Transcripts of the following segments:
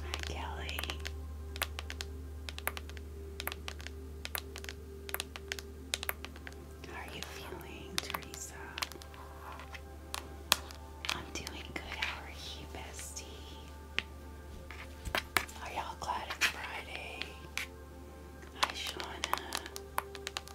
Hi, Kelly. How are you feeling, Teresa? I'm doing good. How are you, bestie? Are y'all glad it's Friday? Hi, Shauna. Hi,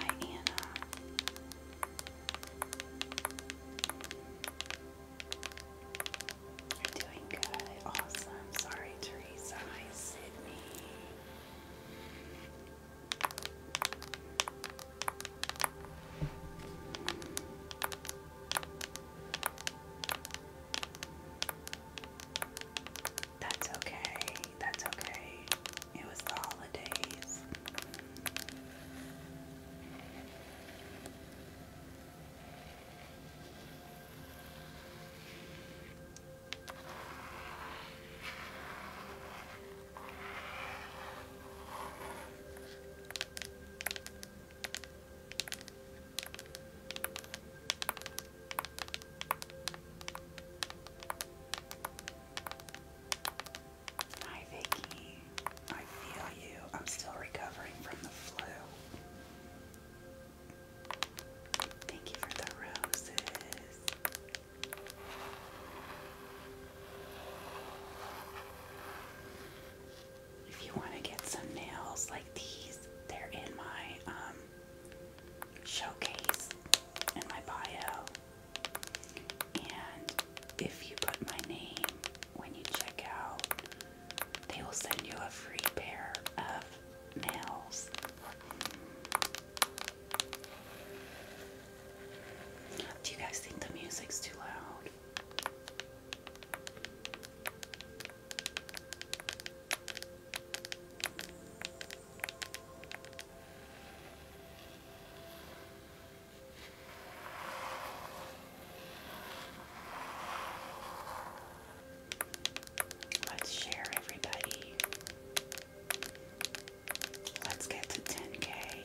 Anna. You're doing good. Awesome. Sorry, Teresa. Hi, Sydney. That's okay. That's okay. It was the holidays. Hi Vicky, I feel you. I'm still recovering from the flu. Thank you for the roses. If you want to get some nails like these, they're in my um, showcase in my bio. And if you put my name when you check out, they will send you a free pair of nails. Do you guys think the music's too loud? Let's share, everybody. Let's get to 10K.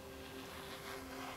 Hi, Evelyn.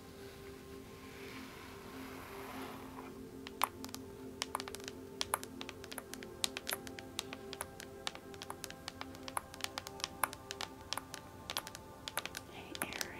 Hey, Aaron.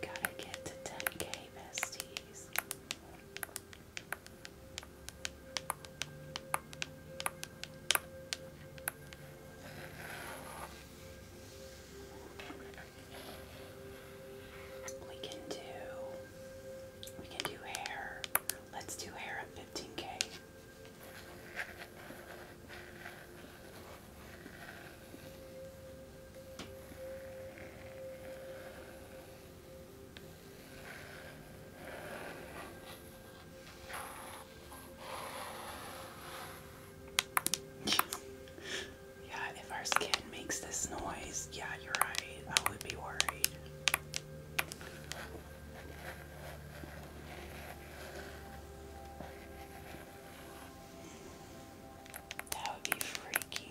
We gotta get to 10k besties. We can do we can do hair. Let's do hair at fifteen K yeah, if our skin makes this noise, yeah, you're right. I would be worried. That would be freaky.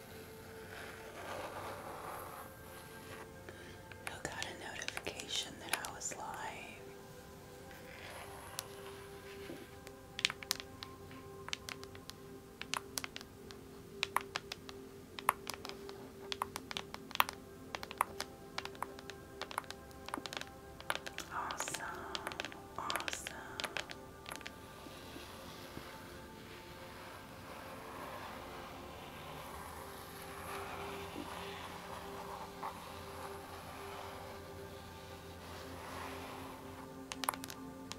Who got a notification that I was live? Awesome, awesome.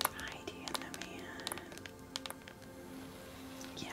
Heidi and Yeah.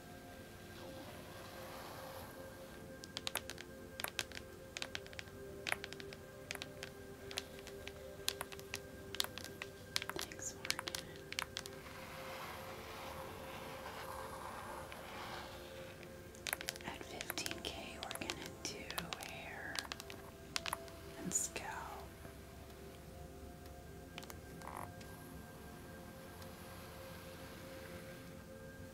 Thanks, Morgan. At 15k, we're going to do hair and scalp.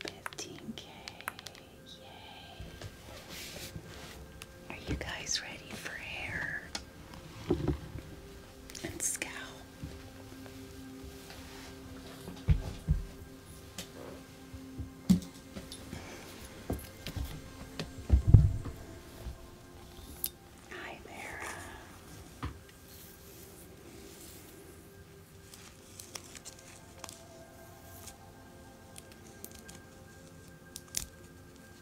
Fifteen K, yay! Are you guys ready for hair? and scowl. Hi there.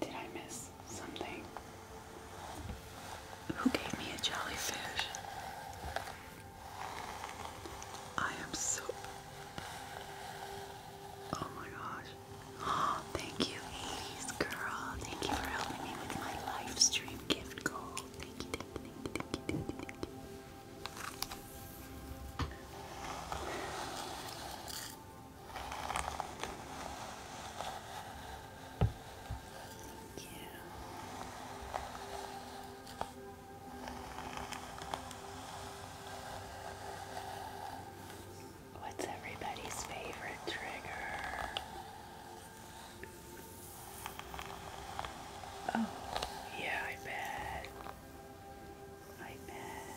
Did I miss something? Who gave me a jellyfish? I am so. Oh my gosh. Oh, thank you, 80s girl. Thank you for helping me with my live gift goal. thank you, thank you, thank you. Thank you. Thank you. What's everybody's favorite trigger? Oh, yeah, I bet. I bet.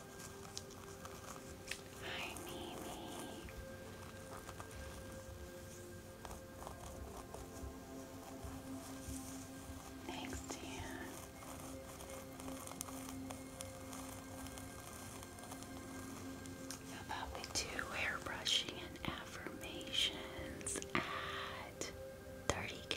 Hi, Mimi. Thanks, dear. About the two hairbrushing and affirmations at 30k.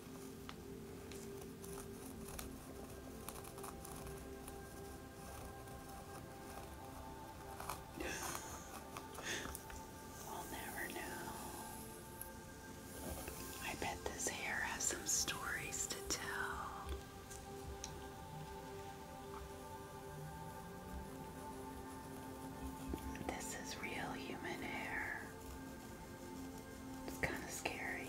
We'll never know. I bet this hair has some stories to tell. This is real human hair. It's kind of scary.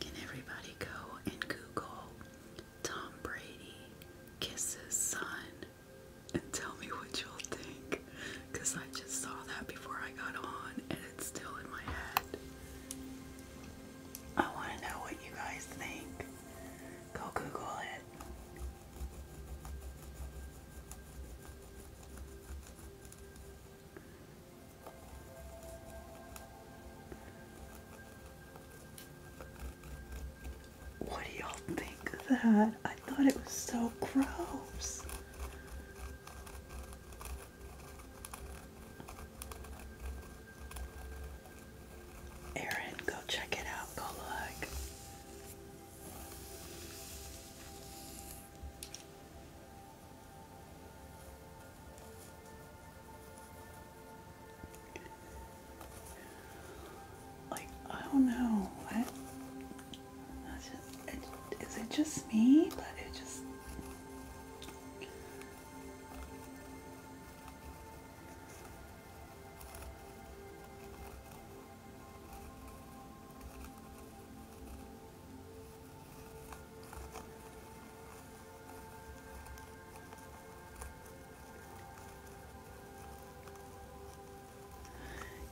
Can everybody go and Google Tom Brady kisses son and tell me what you'll think? Because I just saw that before I got on and it's still in my head. I want to know what you guys think. Go Google it. What do y'all think of that? I thought it was so gross. Aaron, go check it out. Go look. Like, I don't know. I, it just me? But it just.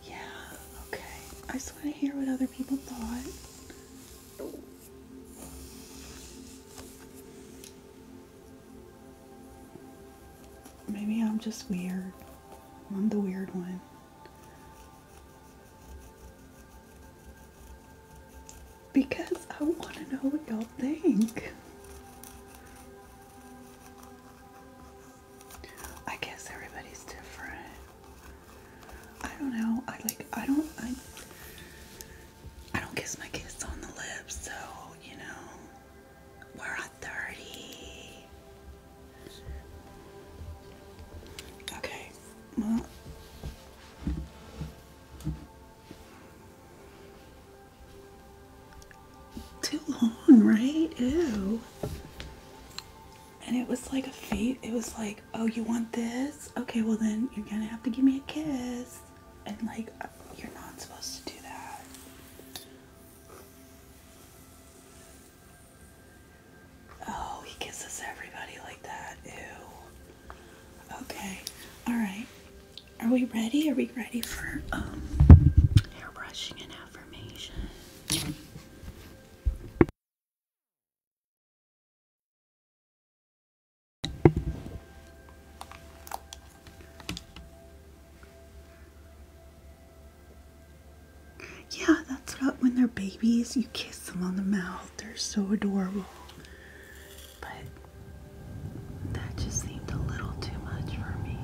Yeah, okay. I just want to hear what other people thought. Maybe I'm just weird. I'm the weird one. Because I want to know what y'all think. I guess everybody's different. I don't know. I like. I don't. I. don't kiss my kids on the lips, so you know. We're at thirty. Okay, Too long, right? Ew. And it was like a fate. It was like, oh, you want this? Okay, well then you're gonna have to give me a kiss. And like, uh, you're not supposed to do that. Oh, he kisses everybody like that. Ew. Okay. All right. Are we ready? Are we ready for um, hairbrushing and affirmation? Yeah, that's what when they're babies, you kiss them on the mouth. They're so adorable. But that just seemed a little too much for me.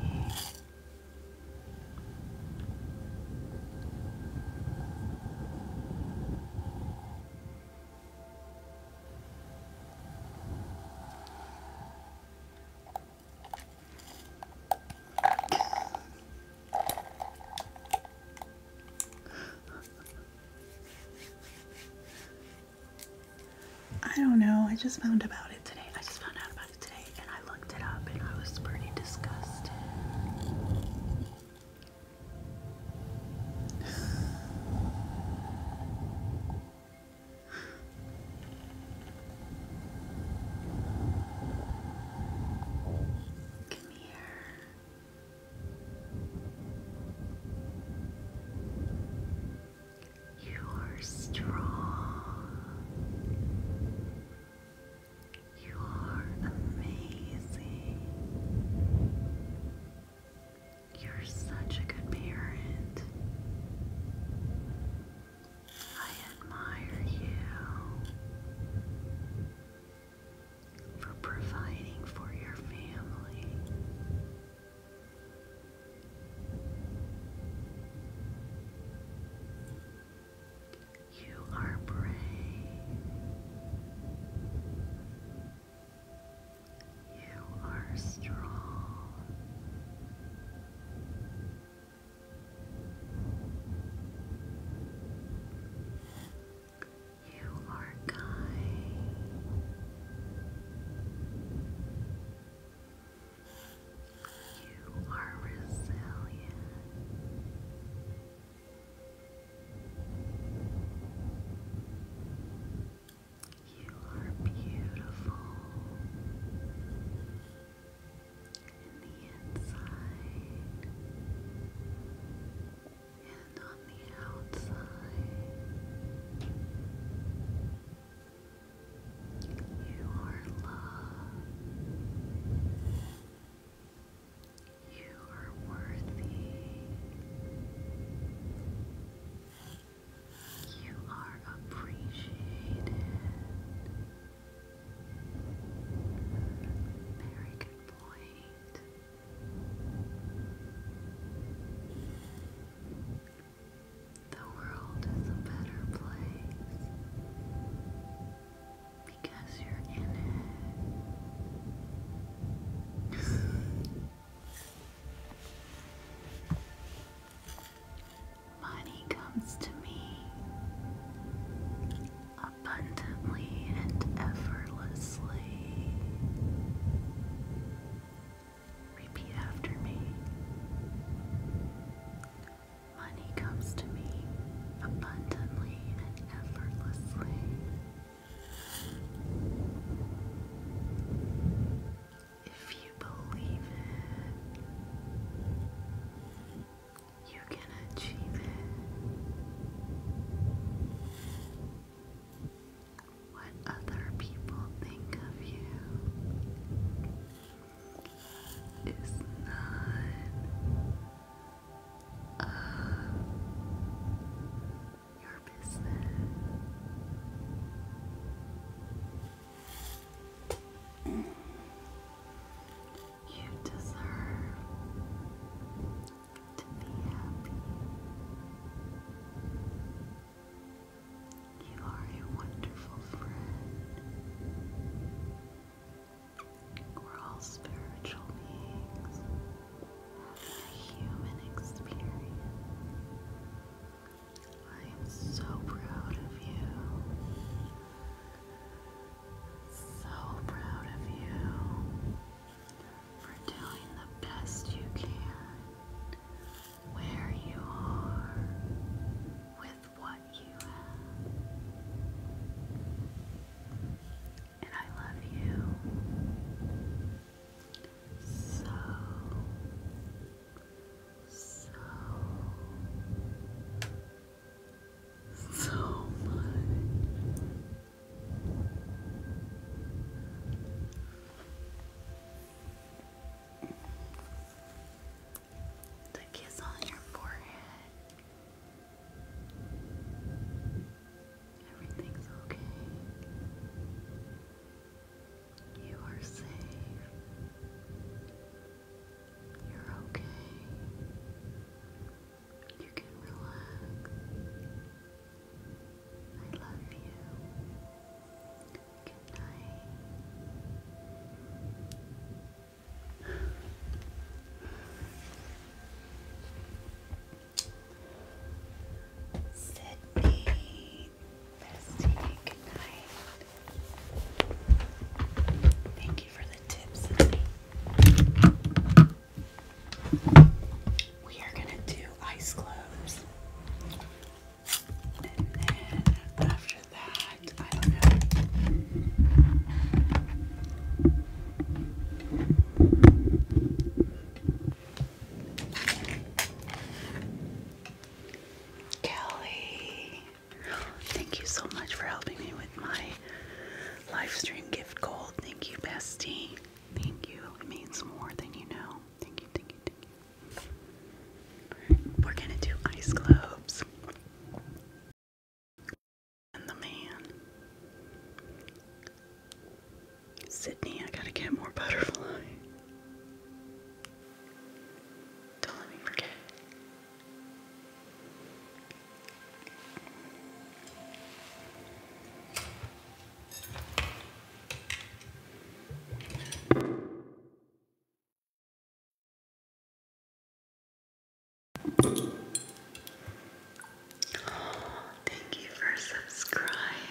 I don't know. I just found about it today. I just found out about it today and I looked it up and I was pretty disgusted. Come here. You are strong. You are amazing. You're such a good parent. I admire you for providing for your family. You are brave. You are strong. You are kind. You are resilient. You are beautiful in the inside and on the outside. You are loved. You are worthy. You are appreciated. Very good boy. The world is a better place because you're in it. Money comes to me abundantly and effortlessly. Repeat after me. Money comes to me abundantly and effortlessly. If you believe it, you can achieve it. What other people think of you is none of your business. You deserve to be happy. You are a wonderful friend. We're all spiritual beings having a human experience. I am so proud of you. So proud of you for doing the best you can where you are with what you have. And I love you so, so, so much. The kiss on your forehead. Everything's okay. You are safe. You're okay. You can relax. I love you. Good night. Sydney, bestie, good night. Thank you for the tips, we are going to do ice globes. And then after that, I don't know. Kelly, thank you so much for helping me with my livestream gift gold. Thank you, bestie. Thank you. It means more than you know. Thank you, thank you, thank you. We're gonna do ice globes. And the man. Sydney, I gotta get more butterfly. Don't let me forget. Thank you for subscribing.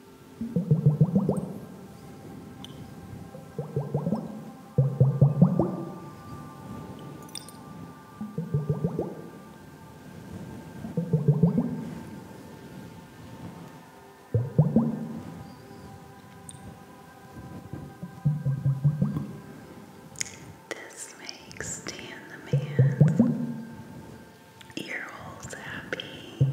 This makes the man's ear holes happy.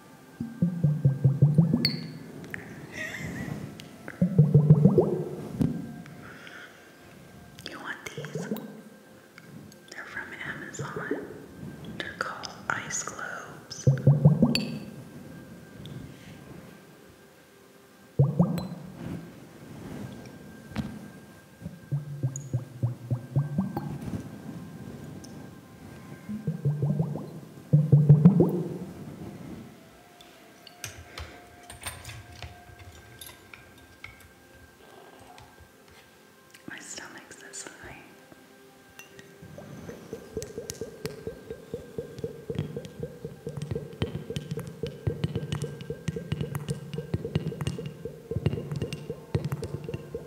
You want these? They're from Amazon. They're called ice globes. My stomach's this high.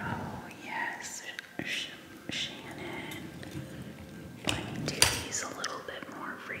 Oh, yes, Shannon. Let me do these a little bit more for you.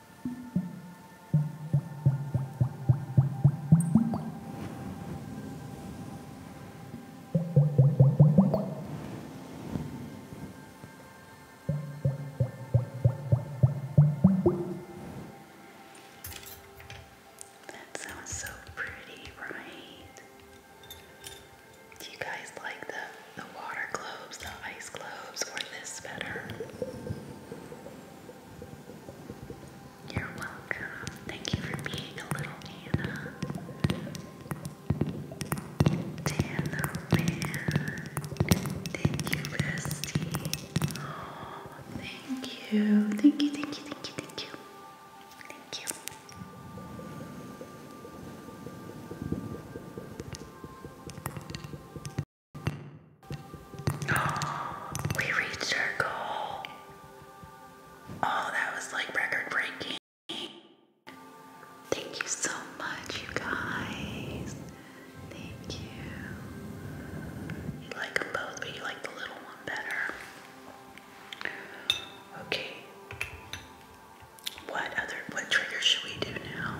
That sounds so pretty, right? Do you guys like that? the water globes, the ice globes, or this better? You're welcome. Thank you for being a little Anna. Dana Man. Thank you, Bestie. Oh, thank you. Thank you, thank you, thank you, thank you. Thank you we reached our goal. Oh, that was like record breaking. Thank you so much, you guys. Thank you. You like them both, but you like the little one better. Okay. What other what trigger should we do now?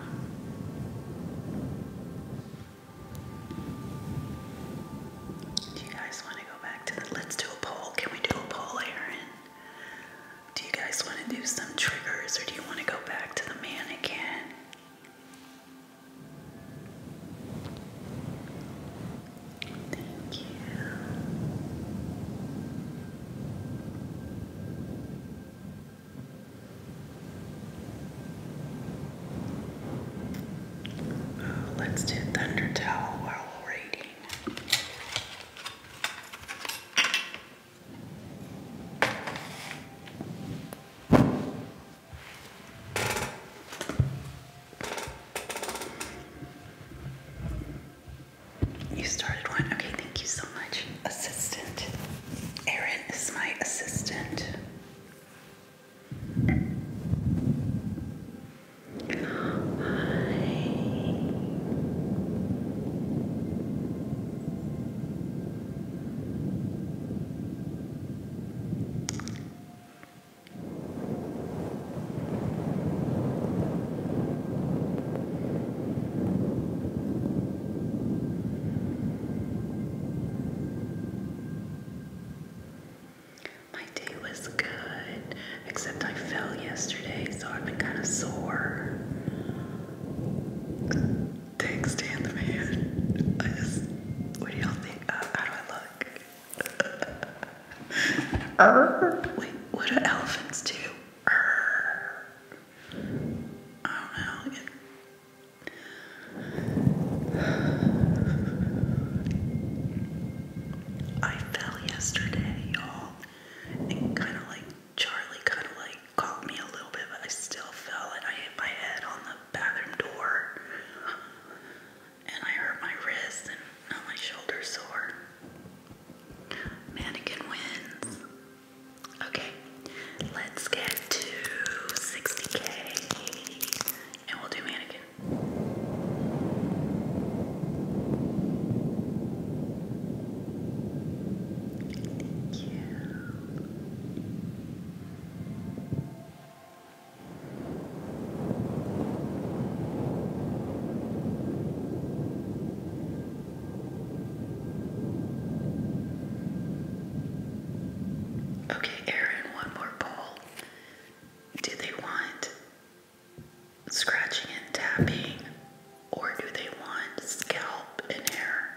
Do you guys want to go back to the let's do a poll? Can we do a poll, Aaron? Do you guys want to do some triggers or do you want to go back to the mannequin? Thank you let's do Thunder Towel while You started one. Okay, thank you so much, assistant. Aaron is my assistant. Hi. My day was good, except I fell yesterday, so I've been kind of sore. Thanks, man. I just, what do y'all think? Uh, how do I look? Err. Wait, what do elephants do? Err. I don't know. I fell yesterday, y'all, and kind of like Charlie kind of like caught me a little bit, but I still fell and I hit my head on the bathroom door, and I hurt my wrist and my shoulder sore. Mannequin wins. Okay, let's get to 60k and we'll do mannequin. Thank you. Okay, Aaron, one more poll. Do they want scratching and tapping, or do they want scalp and hair?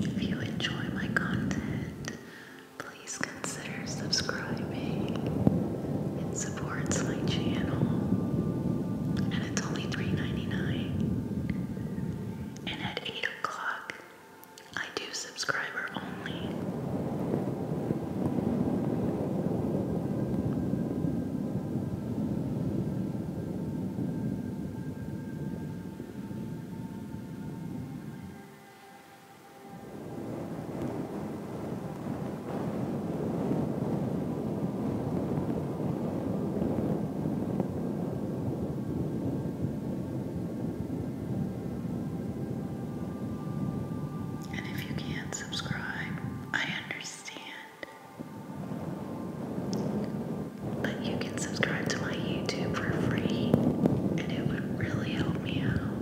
If you enjoy my content, please consider subscribing. It supports my channel, and it's only $3.99. And at 8 o'clock, I do subscriber only. And if you can't subscribe, I understand. But you can subscribe to my YouTube for free, and it would really help me out.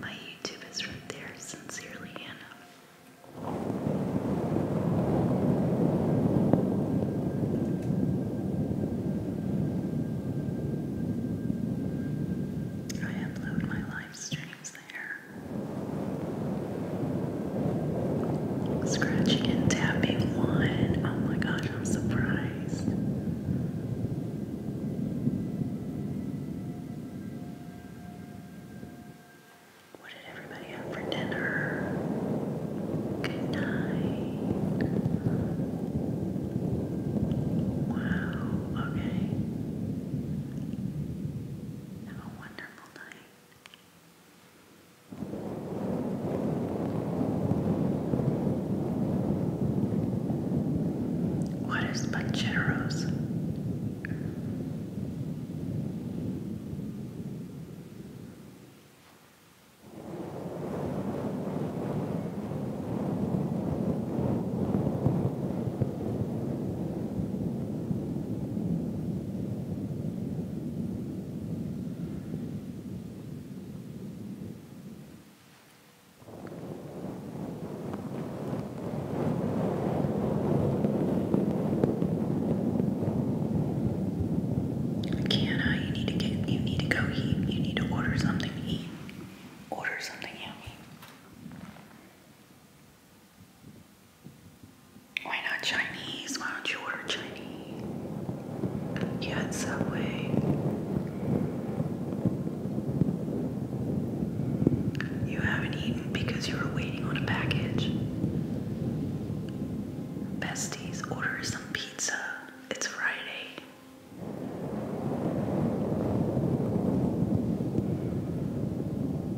My YouTube is right there, sincerely, Anna. I upload my live streams there. Scratching and tapping one. Oh my gosh, I'm surprised. What did everybody have for dinner? Good night. Wow, okay. How wonderful. What is but What is Kiana, you need to get you need to go eat. You need to order something to eat. Order something yummy. Why not Chinese? Why don't you order Chinese? Yeah, it's Subway. You haven't eaten because you were waiting on a package. Besties, order some pizza. It's Friday.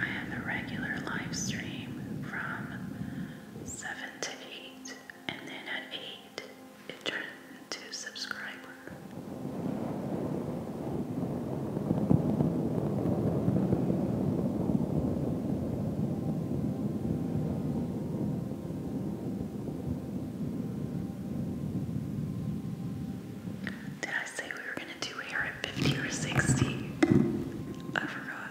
I have a regular live stream from 7 to 8, and then at 8, it turns to subscriber. Did I say we were going to do hair at 50 or 60? I forgot.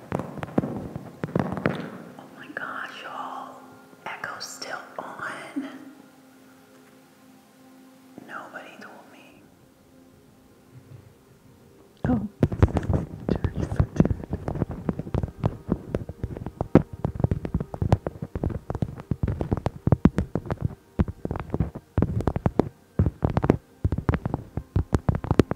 Oh my gosh, y'all. Echo's still on. Nobody told me. Oh,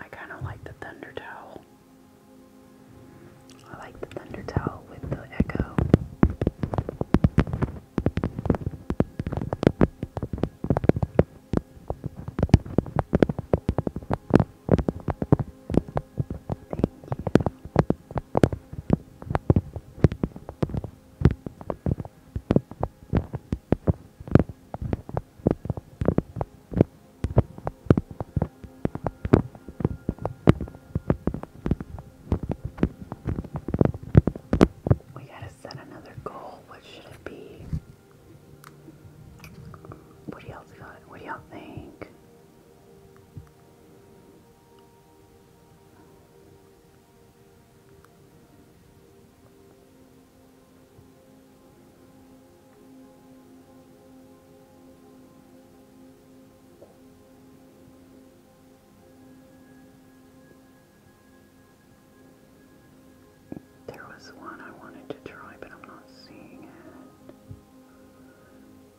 I kind of like the thunder towel. I like the thunder towel with the echo. Thank we gotta set another goal. What should it be? What do y'all What do y'all think? There was one I wanted to try, but I'm not seeing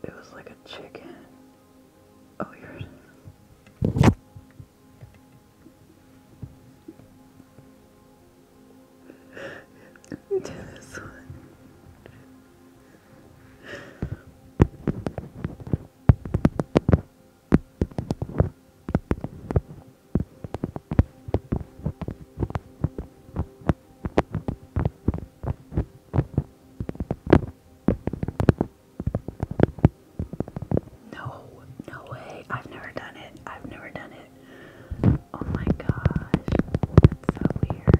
it. It was like a chicken. Oh, here it is. Do this one. No, no way. I've never done it. I've never done it. Oh my gosh. That's so weird.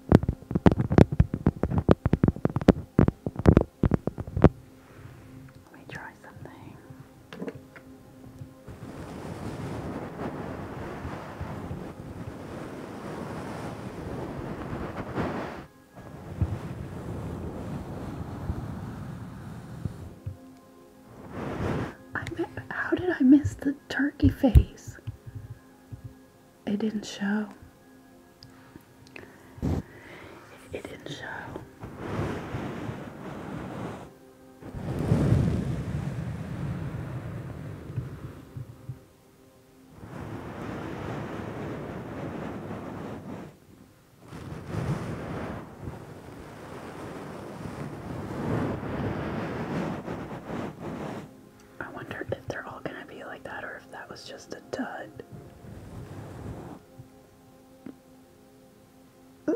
Let me try something. how did I miss the turkey face? it didn't show. It didn't show. I wonder if they're all gonna be like that or if that was just a dud.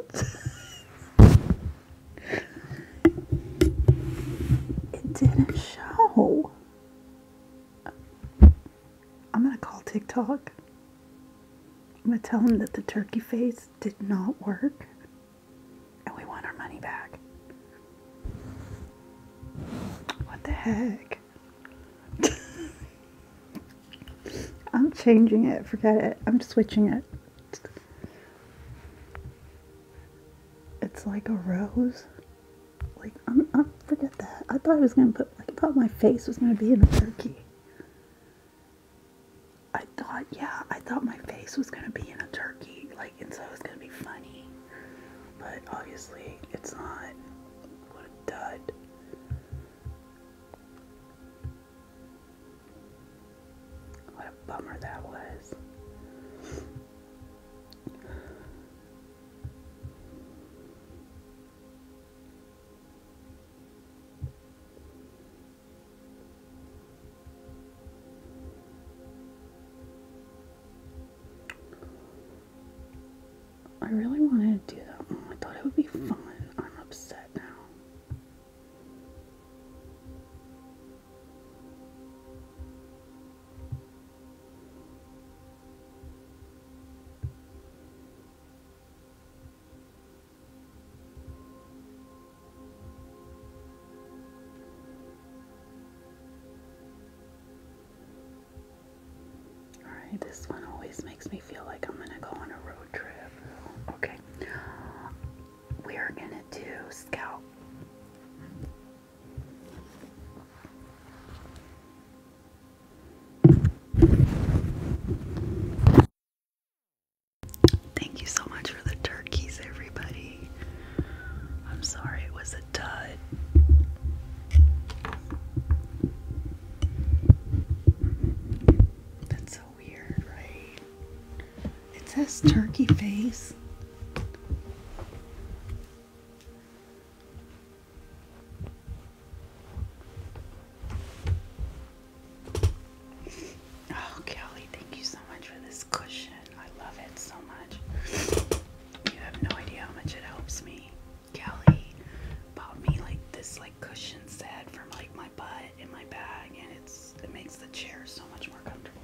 it didn't show. I'm gonna call TikTok. I'm gonna tell them that the turkey face did not work and we want our money back. What the heck? I'm changing it, forget it. I'm switching it. It's like a rose. Like, I'm, I'm forget that. I thought I was gonna put, like, I thought my face was gonna be in a turkey. I thought, yeah, I thought my face was gonna be in a turkey. Like like and so it's gonna be funny. But obviously it's not what a dud. What a bummer that was. I really wanted to do that I thought it would be fun. I'm upset now. Alright, this one always makes me feel like I'm gonna go on a road trip. Okay. We're gonna do Scout. Thank you so much for the turkeys, everybody. I'm sorry it was that's so weird, right? It says turkey face. Oh, Kelly, thank you so much for this cushion. I love it so much. You have no idea how much it helps me. Kelly bought me like this like cushion set from like my butt in my bag and it's it makes the chair so much more comfortable.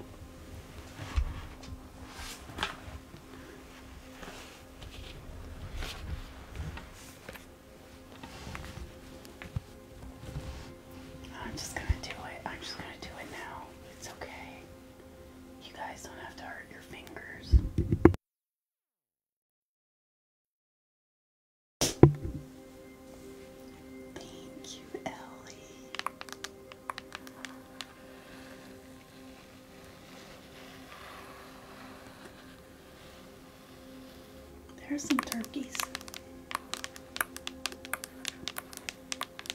I'm just gonna do it. I'm just gonna do it now. It's okay. You guys don't have to hurt your fingers. Thank you, Ellie. There's some turkeys.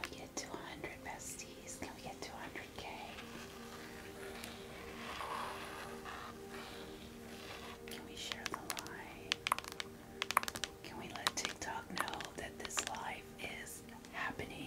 Can we get two hundred besties? Can we get two hundred? 100 Can we share the live? Can we let TikTok know that this live is happening?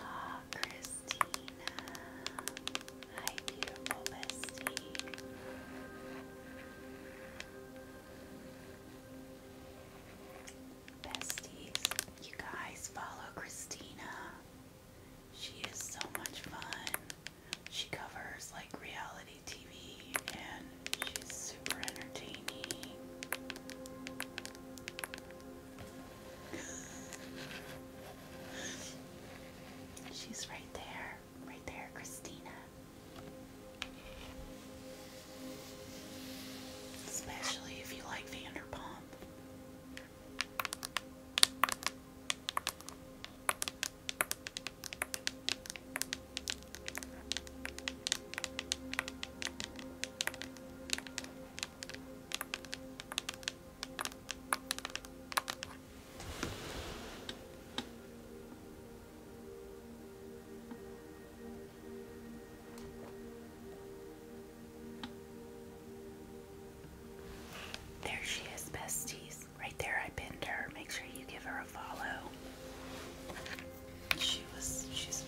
Ah, Chris Christina. Hi, beautiful bestie. Besties, you guys follow Christina. She is so much fun. She covers like reality TV and she's super entertaining. She's right there, right there, Christina. Especially if you like Vanderpump. There she is, besties. Right there, I pinned her. Make sure you give her a follow. She was, she's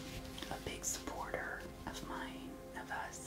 a big supporter of mine, of us.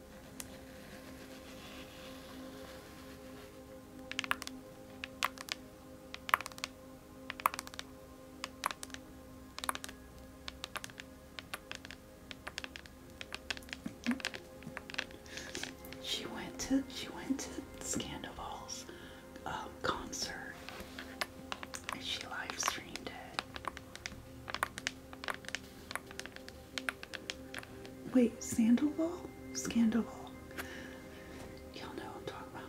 She went to she went to Scandival's um, concert and she live streamed it. Wait, sandal wall? Scandal wall. Y'all know I'm talking about.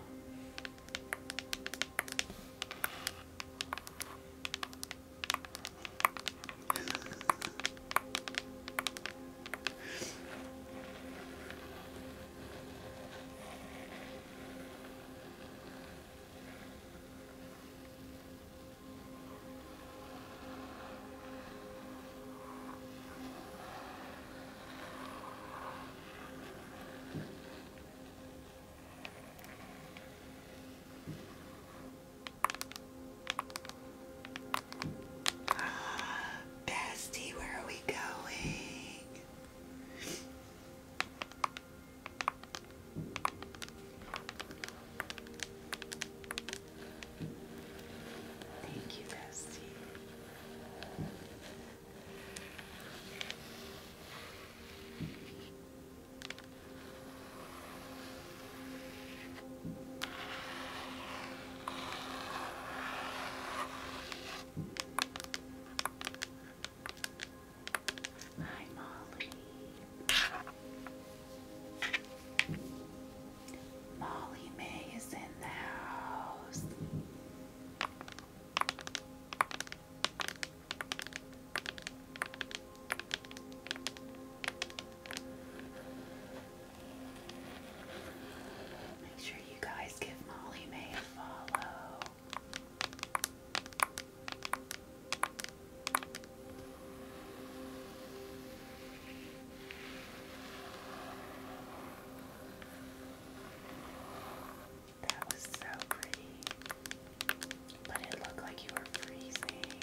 Bestie, where are we going? Thank you, Bessie. Hi, Molly. Molly May is in the house. Make sure you guys give Molly May a follow. That was so pretty. But it looked like you were freezing.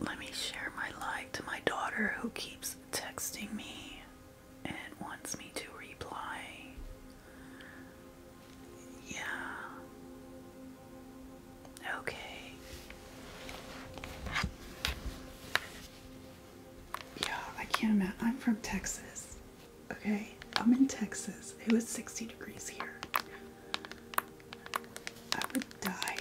Let me share my like to my daughter who keeps texting me and wants me to reply. Yeah. Okay. Yeah, I can't imagine. I'm from Texas. Okay? I'm in Texas. It was 60 degrees here. I would die.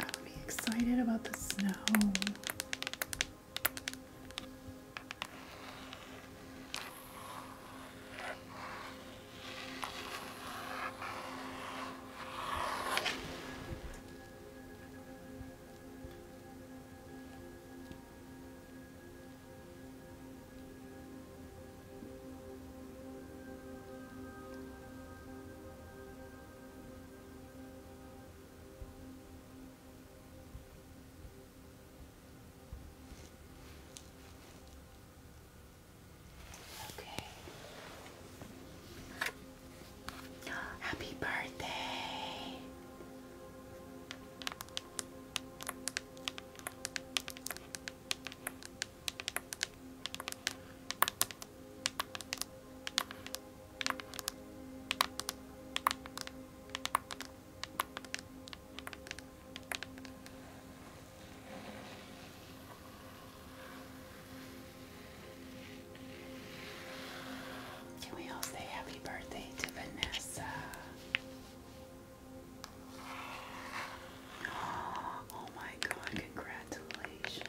I would be excited about the snow. Okay. Happy birthday. Can we all say happy birthday to Vanessa? Oh, my god, congratulations.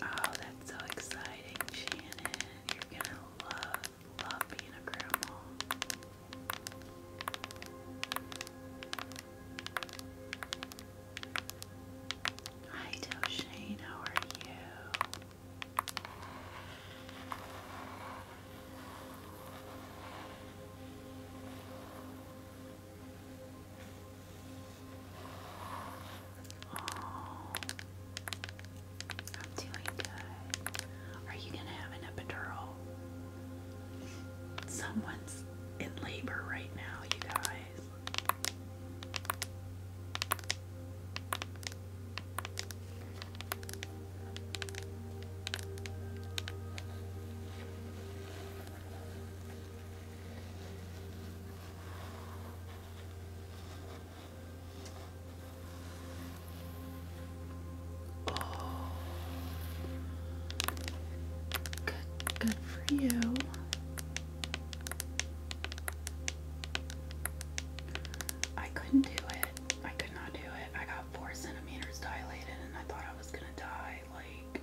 Oh, that's so exciting, Shannon. You're gonna love, love being a grandma. Hi, Doshane, how are you? Are you gonna have an epidural? Someone's in labor right now, you guys. Oh. Good, for you. I couldn't do it. I could not do it. I got four centimeters dilated and I thought I was gonna die. Like,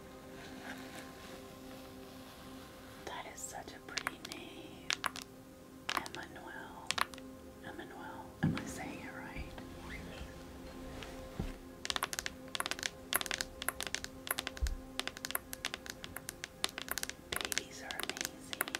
That is such a pretty name. Emmanuel. Emmanuel. Am I saying it right? Babies are amazing.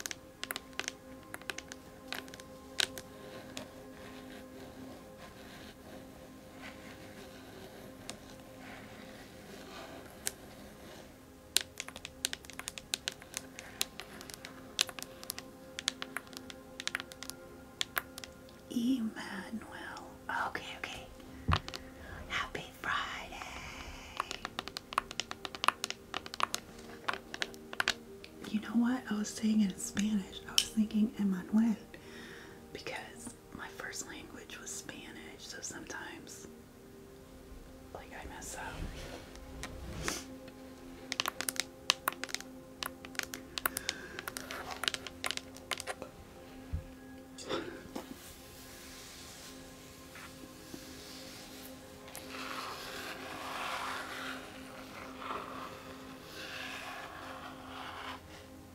Emmanuel. Okay, okay. Happy Friday. You know what? I was saying in Spanish. I was thinking Emmanuel because my first language was Spanish, so sometimes like I mess up.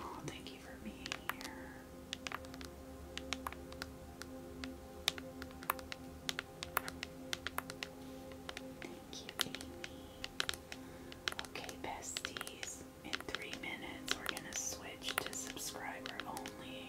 Oh, thank you for being here. Thank you, Amy. Okay, besties. In three minutes, we're gonna switch to subscriber only.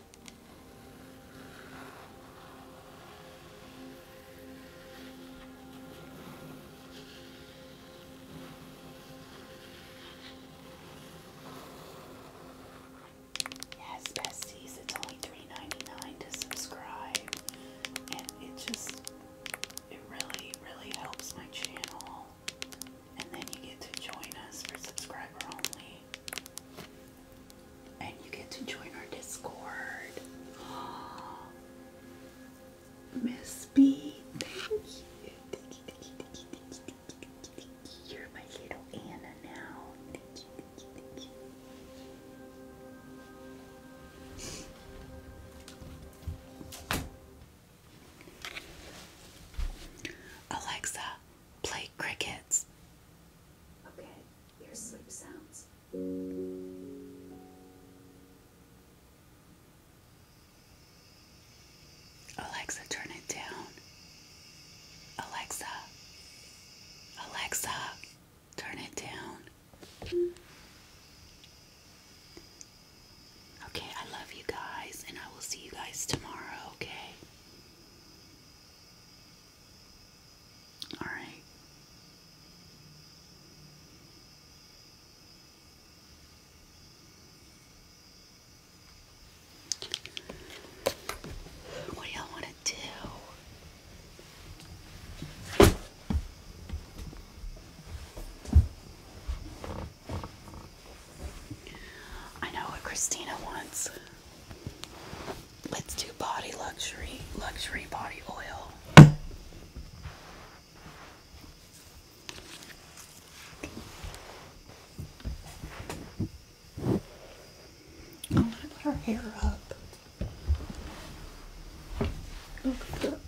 Yes, besties, it's only 3 to subscribe, and it just, it really, really helps my channel and then you get to join us for subscriber only. And you get to join our Discord. Miss B, thank you. You're my little Anna now. Alexa, play crickets. Okay, here's sleep sounds. Alexa, turn it down. Alexa, Alexa, turn it down. Okay, I love you guys, and I will see you guys tomorrow, okay? All right. What do y'all want to do? I know what Christina wants. Let's do body luxury, luxury body oil. I'm gonna put her hair up. Oh, look at that.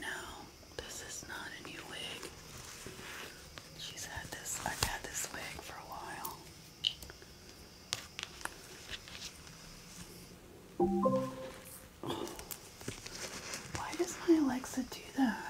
No, this is not a new wig. She's had this, I've had this wig for a while. Why does my Alexa do that?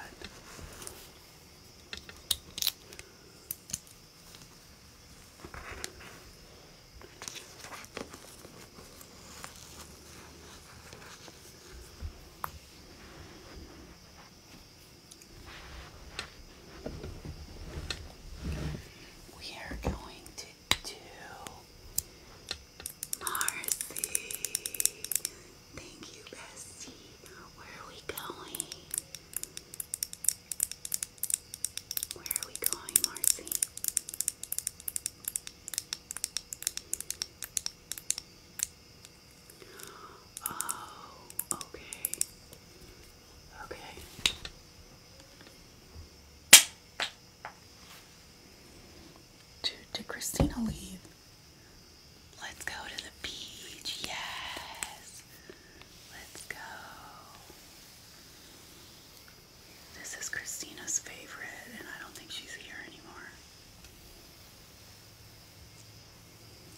We are going to do Marcy. Thank you, Bestie. Where are we going? Where are we going, Marcy? Oh, okay. Okay. To did Christina leave? Let's go to the beach. Yes. Let's go. This is Christina's favorite, and I don't think she's here anymore.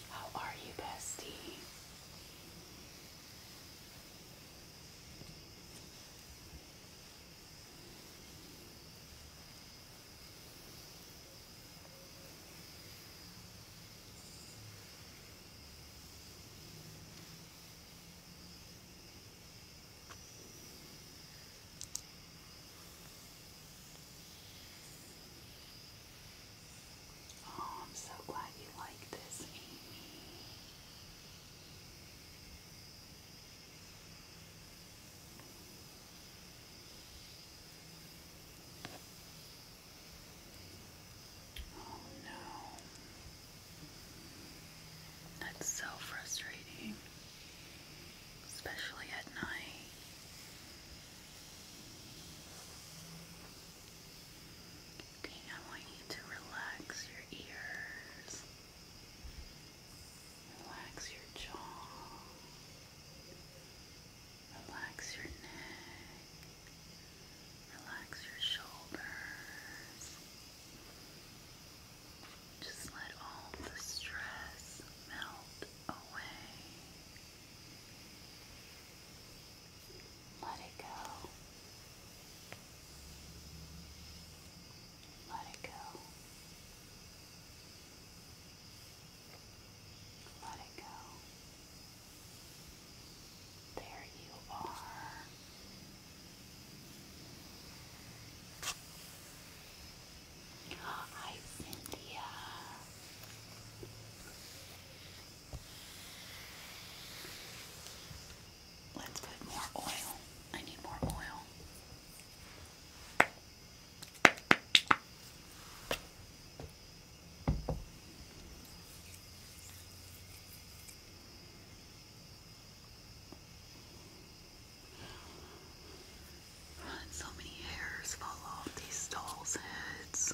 How are you, bestie? Oh, I'm so glad you like this, Amy. Oh no. That's so frustrating, especially at night. Okay, I want you to relax your ears, relax your jaw. Relax your neck. Relax your shoulders. Just let all the stress melt away. Let it go. Let it go. Let it go. There you are. Hi, Cynthia. Let's put more oil. I need more oil. And so many hairs fall off these dolls' heads.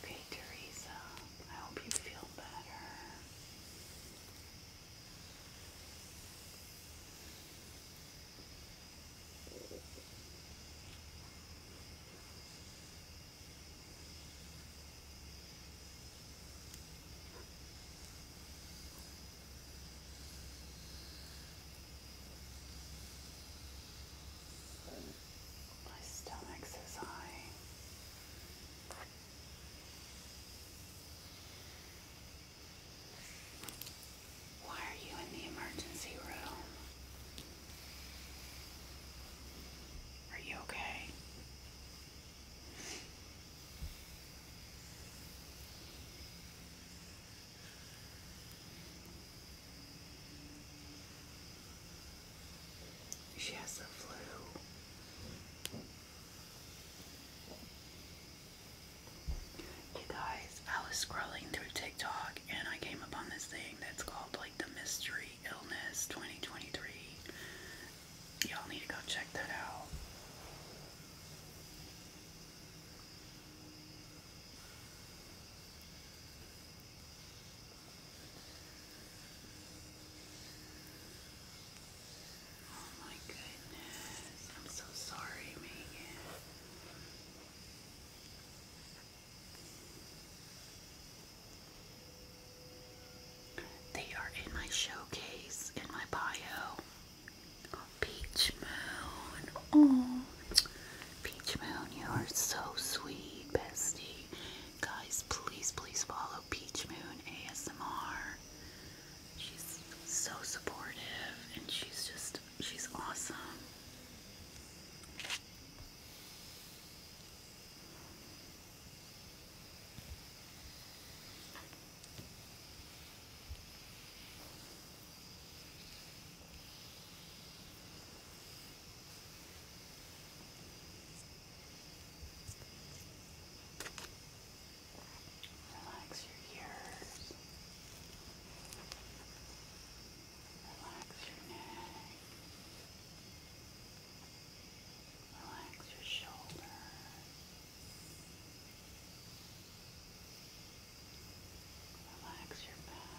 Okay, Teresa, I hope you feel better. My stomach's is high. Why are you in the emergency room? Are you okay? She has the flu. You guys, I was scrolling through TikTok and I came upon this thing that's called like the Mystery Illness 2023. Y'all need to go check that out. Oh my goodness. I'm so sorry, Megan. They are in my showcase, in my bio. Peach Moon. Oh, Peach Moon, you are so sweet, bestie. Guys, please, please follow Peach Moon ASMR. She's so supportive and she's just, she's awesome. Relax your ears. Relax your neck. Relax your shoulder. Relax your back. Relax your neck.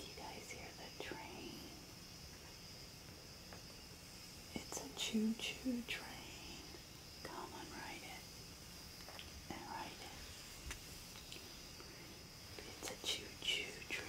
you guys hear the train? It's a choo-choo train. Come and ride it. And ride it. It's a choo-choo train.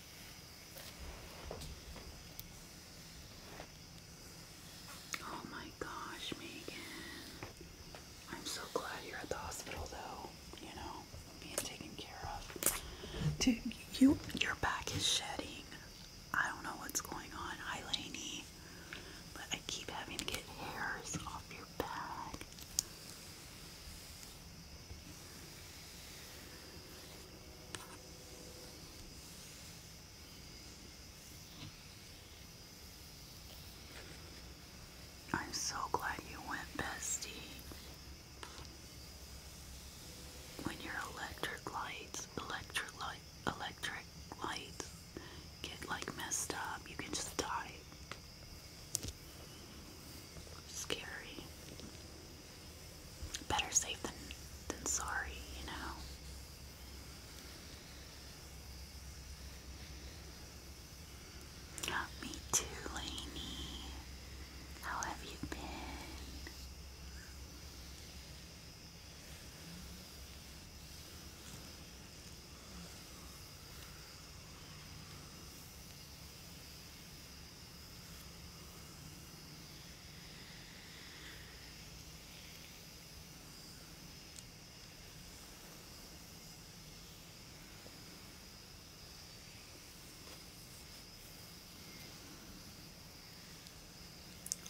Oh my gosh, Megan. I'm so glad you're at the hospital though, you know, being taken care of. Dude, you your back is shedding. I don't know what's going on, Eileeny, but I keep having to get hairs off your back. I'm so glad you went, Bestie. When your electric lights, electric light, electric lights get like messed up, you can just die. Scary. Better safe than than sorry, you know. Ah, me too, Lainey. How have you been?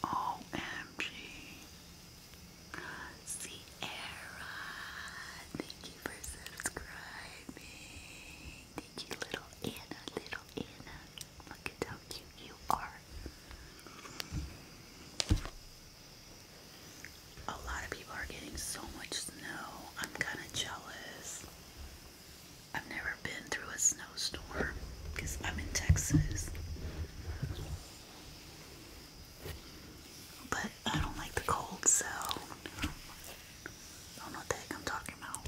OMG. Sierra, thank you for subscribing. Thank little Anna, little Anna. Look at how cute you are. A lot of people are getting so much snow. I'm kind of jealous. I've never been through a snowstorm because I'm in Texas. But I don't like the cold, so don't know what I'm talking about.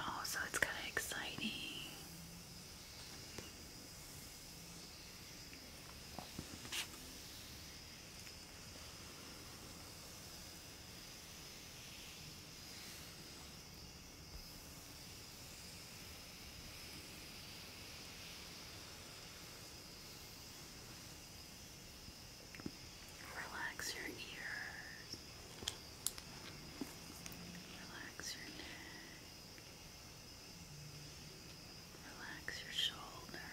Oh, so it's kind of exciting. Relax your ears. Relax your Relax your shoulder.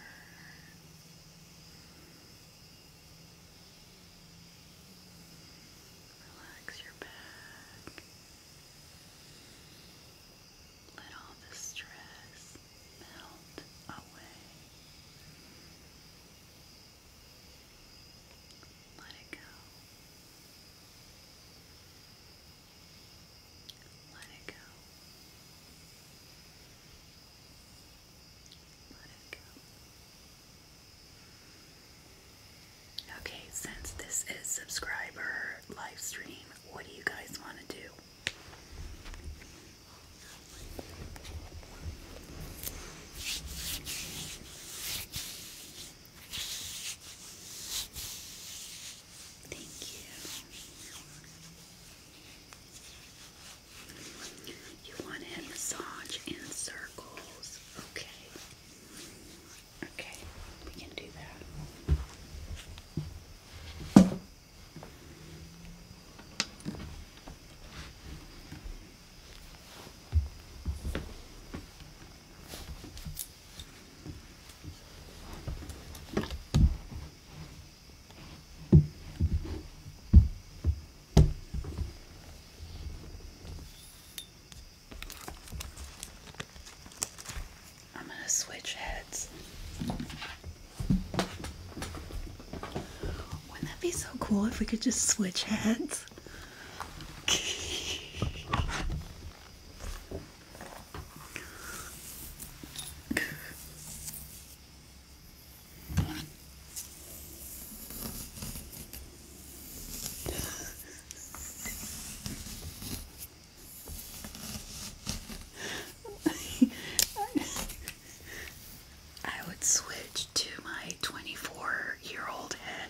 Relax your back. Let all the stress melt away. Let it go. Okay, since this is subscriber live what do you guys want to do? Thank you. You want to massage in circles. Okay. Okay, we can do that. I'm going to switch heads. Wouldn't that be so cool if we could just switch heads? I would switch to my 24 year old head.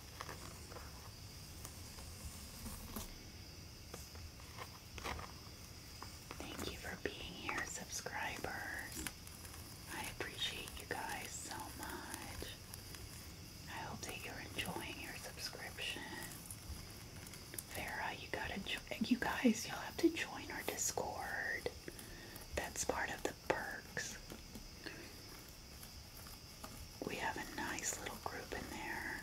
Thank you for being here, subscribers. I appreciate you guys so much. I hope that you're enjoying your subscription. Vera, you gotta join. You guys, you'll have to join our Discord. That's part of the perks we have a nice little group in there.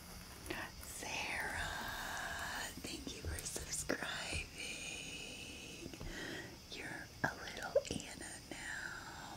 Sarah, thank you for subscribing. You're a little Anna now.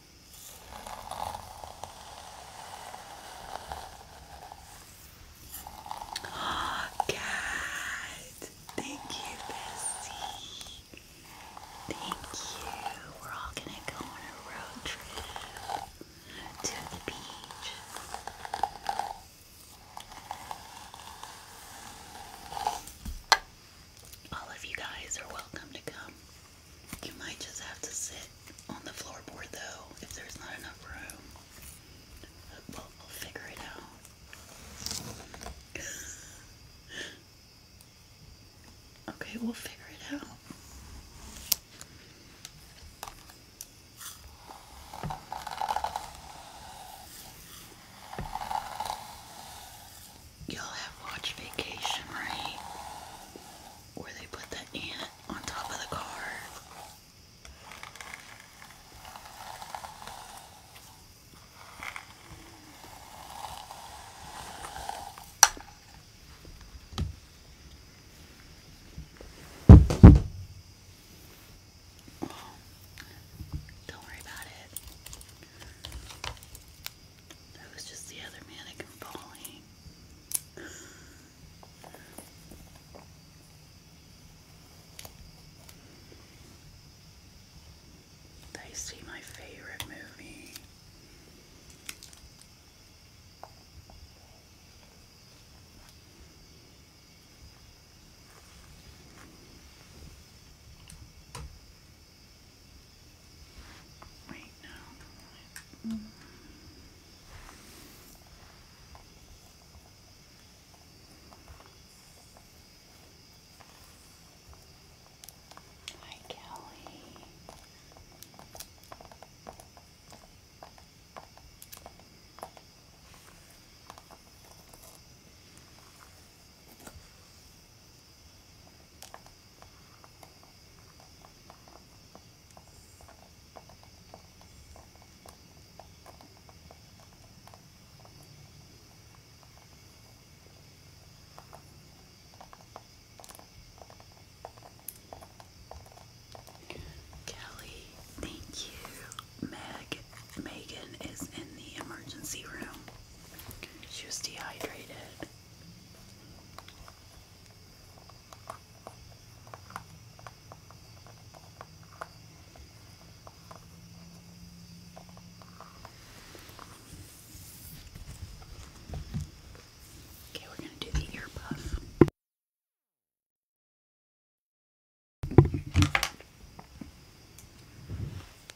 Oh, thank you, Bessie. Thank you. We're all gonna go on a road trip to the beach. All of you guys are welcome to come. You might just have to sit on the floorboard though if there's not enough room. Well, I'll figure it out. okay, we'll figure it out y'all have watched Vacation, right? Where they put the ant on top of the car. don't worry about it. That was just the other mannequin falling. They see my favorite movie right now. Hi, Kelly. Kelly, thank you. Meg, Megan is in the emergency room. She was dehydrated. Okay, we're going to do the ear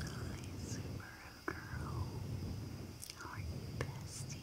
Hi, Subaru girl. How are you, bestie?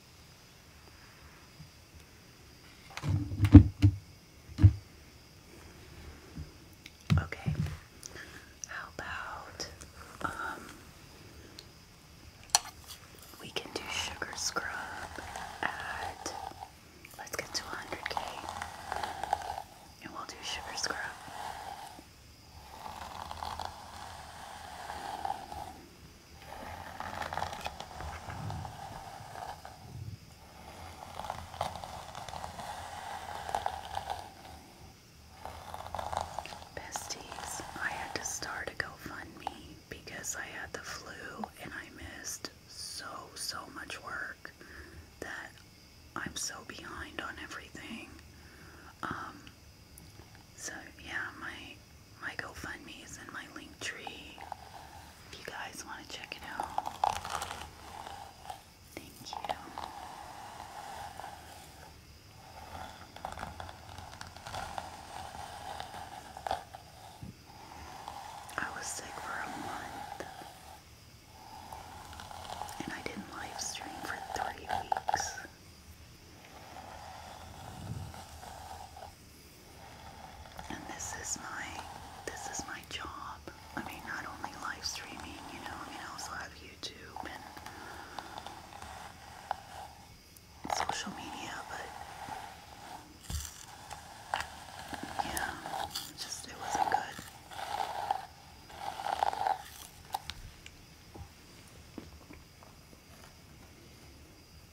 Okay. How about um we can do sugar scrub let's get to 100k and we'll do sugar scrub. Besties, I had to start a GoFundMe because I had the flu and I missed so, so much work that I'm so behind on everything. Um, so yeah, my my GoFundMe is in my link tree if you guys want to check it out. Thank you. I was sick for a month and I didn't live for three weeks. And this is my this is my job. I mean, not only live streaming, you know. I mean, I also have YouTube and social media, but yeah, just it wasn't good.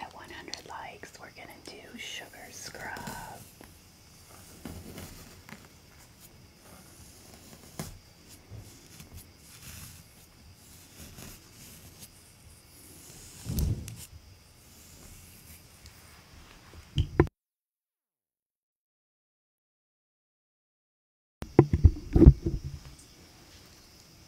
At 100 likes, we're going to do Sugar Scrub.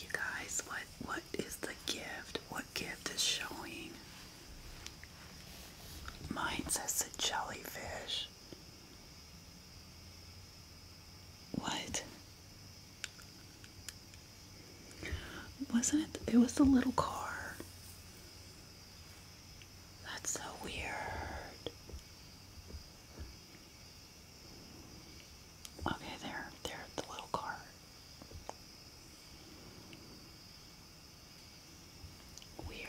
You guys, what what is the gift? What gift is showing? Mine says the jellyfish. What? Wasn't it? It was the little car. That's so weird. Okay, there, there, the little car. Weird.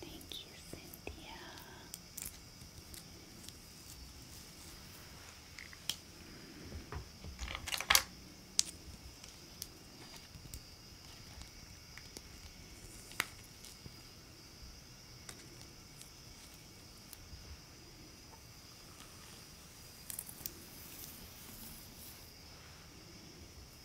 Thank you, Cynthia.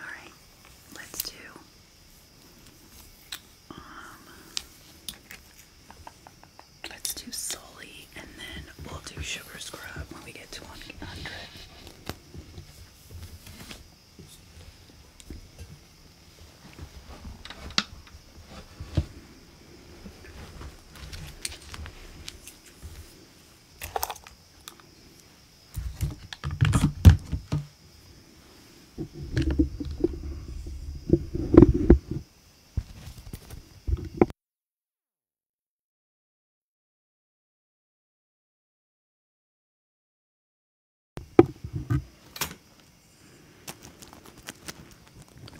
Alright, let's do um let's do Sully and then we'll do sugar scrub when we get to 100.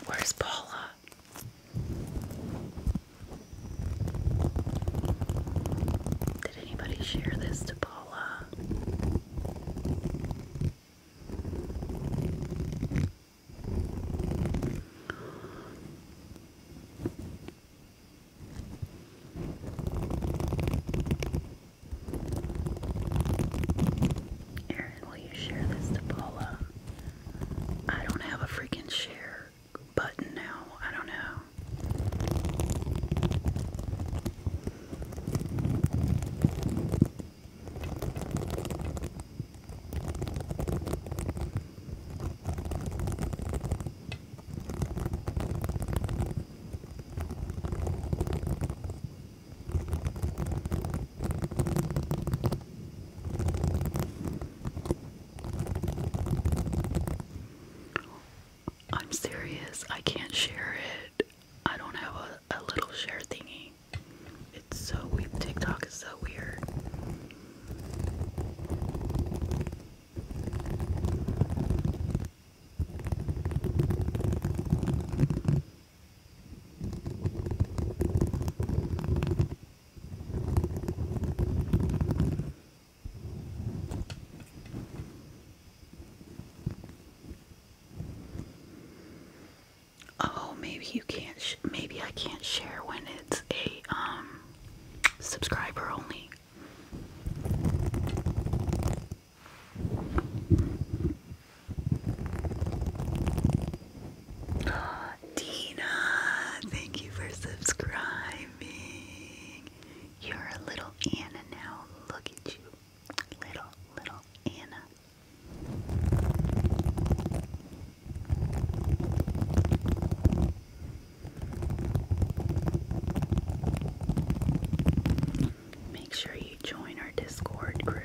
Where's Paula? Did anybody share this to Paula? Aaron, will you share this to Paula? I don't have a freaking share button now. I don't know. I'm serious. I can't share it. I don't have a, little share thingy. It's so weird. TikTok is so weird. Oh, maybe you can't. maybe I can't share when it's a um subscriber only. Dina, thank you for subscribing. You're a little Anna now. Look at you. Little, little Anna. Make sure you join our Discord group.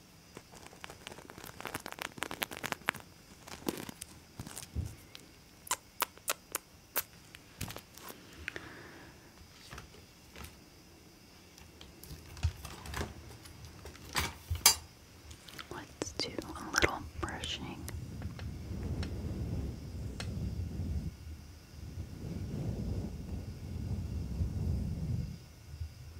Let's do a little brushing.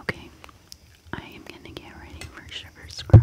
Okay, I am going to get ready for sugar scrub.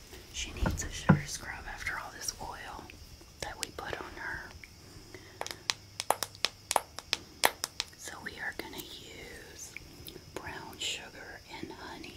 She needs a sugar scrub after all this oil that we put on her. So we are going to use brown sugar and honey.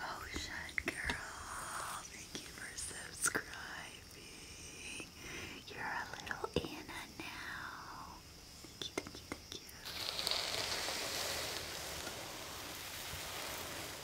Ocean Girl, thank you for subscribing. You're a little Anna now. Thank you, thank you, thank you.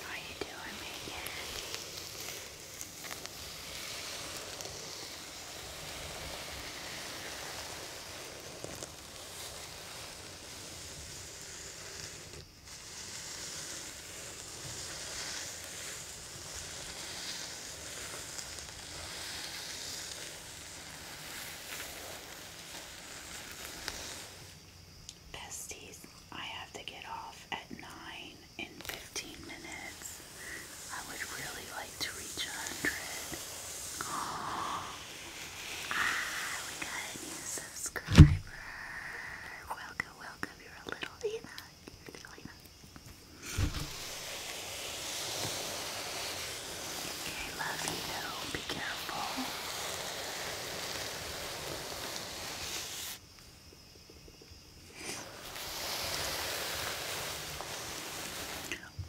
How you doing, Megan? Besties, I have to get off at 9 in 15 minutes. I would really like to reach 100. Oh, ah, we a new subscriber. Welcome, welcome. You're a little Lena. You're a little Lena. Okay, love you. Be careful.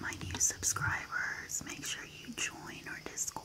My new subscribers, make sure you join our Discord cord.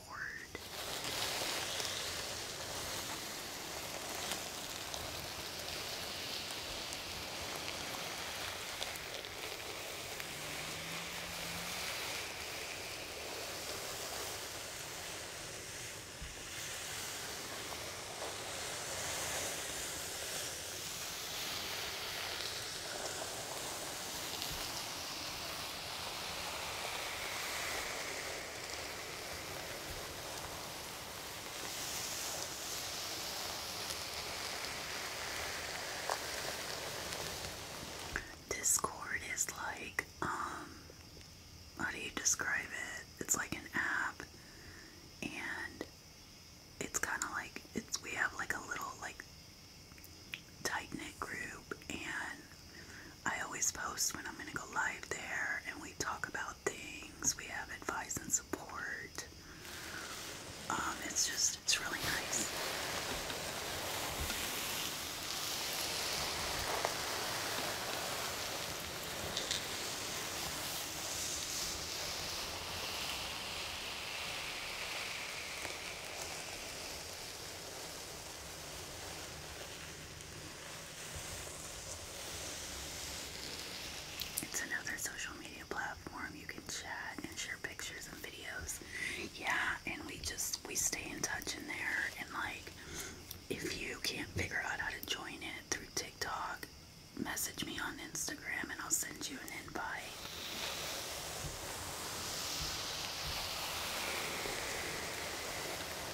Discord is like, um, how do you describe it? It's like an app, and it's kind of like it's we have like a little like tight knit group, and I always post when I'm going to go live there and we talk about things. We have advice and support. Um, it's just, it's really nice. It's another social media platform you can chat and share pictures and videos. Yeah, and we just we stay in touch in there and like if you can't figure out how to join it through TikTok, message me on Instagram and I'll send you an invite.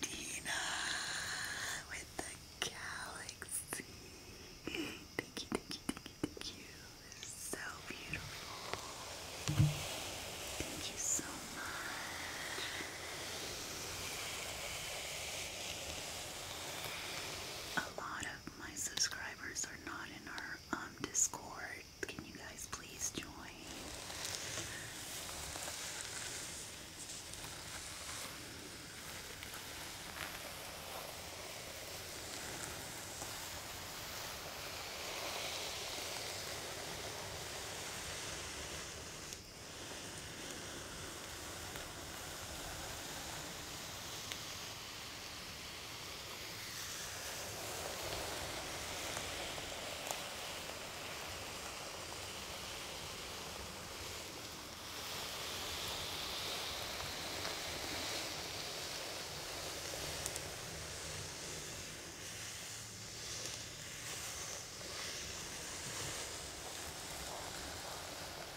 Dina with the galaxy. Thank you, thank you, thank you, thank you. So beautiful. Thank you so much. A lot of my subscribers are not in our um, Discord can you guys please join?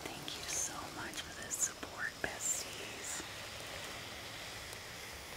Thank you so much for the support, besties.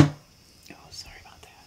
Oh, sorry about that.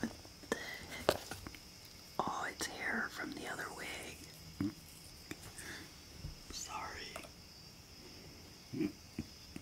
What the heck? Oh, it's hair from the other wig. Sorry.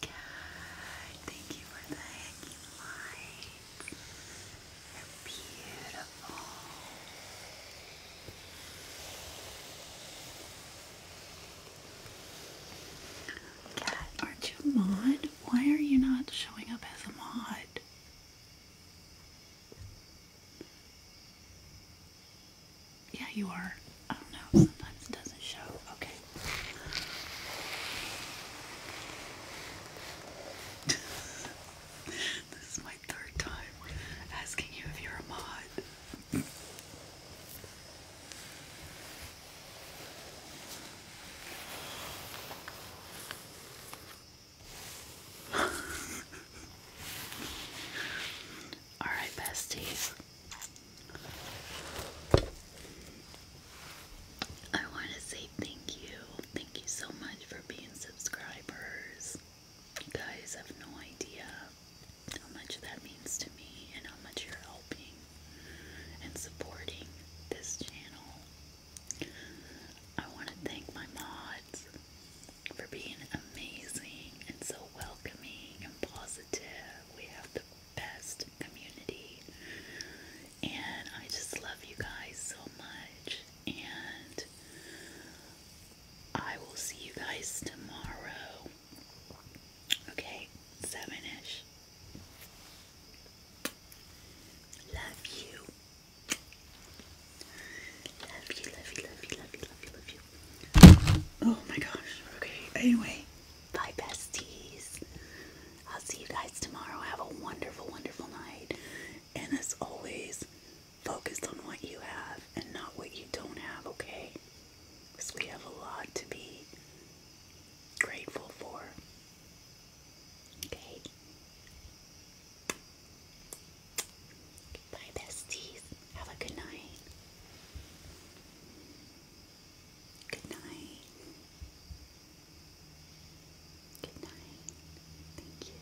God, thank you for the hanging lights. are beautiful aren't you a mod? Why are you not showing up as a mod? Yeah, you are. I oh, don't know. Sometimes it doesn't show. Okay. this is my my third time asking you if you're a mod. All right, besties. I want to say thank you. Thank you so much for being subscribers. You guys have no idea how much that means to me and how much you're helping and supporting this channel. I want to thank my mods for being amazing and so welcoming and positive. We have the best community, and I just love you guys so much. And I will see you guys tomorrow Okay, seven-ish. Love you. Love you, love you, love you, love you, love you, Oh my gosh. Okay, anyway. Bye, besties. I'll see you guys tomorrow. Have a wonderful, wonderful night. And as always, focused on what you have and not what you don't have, okay? Because we have a lot to be grateful for. Okay. Bye, besties. Have a good night. Good night. Good night. Thank you.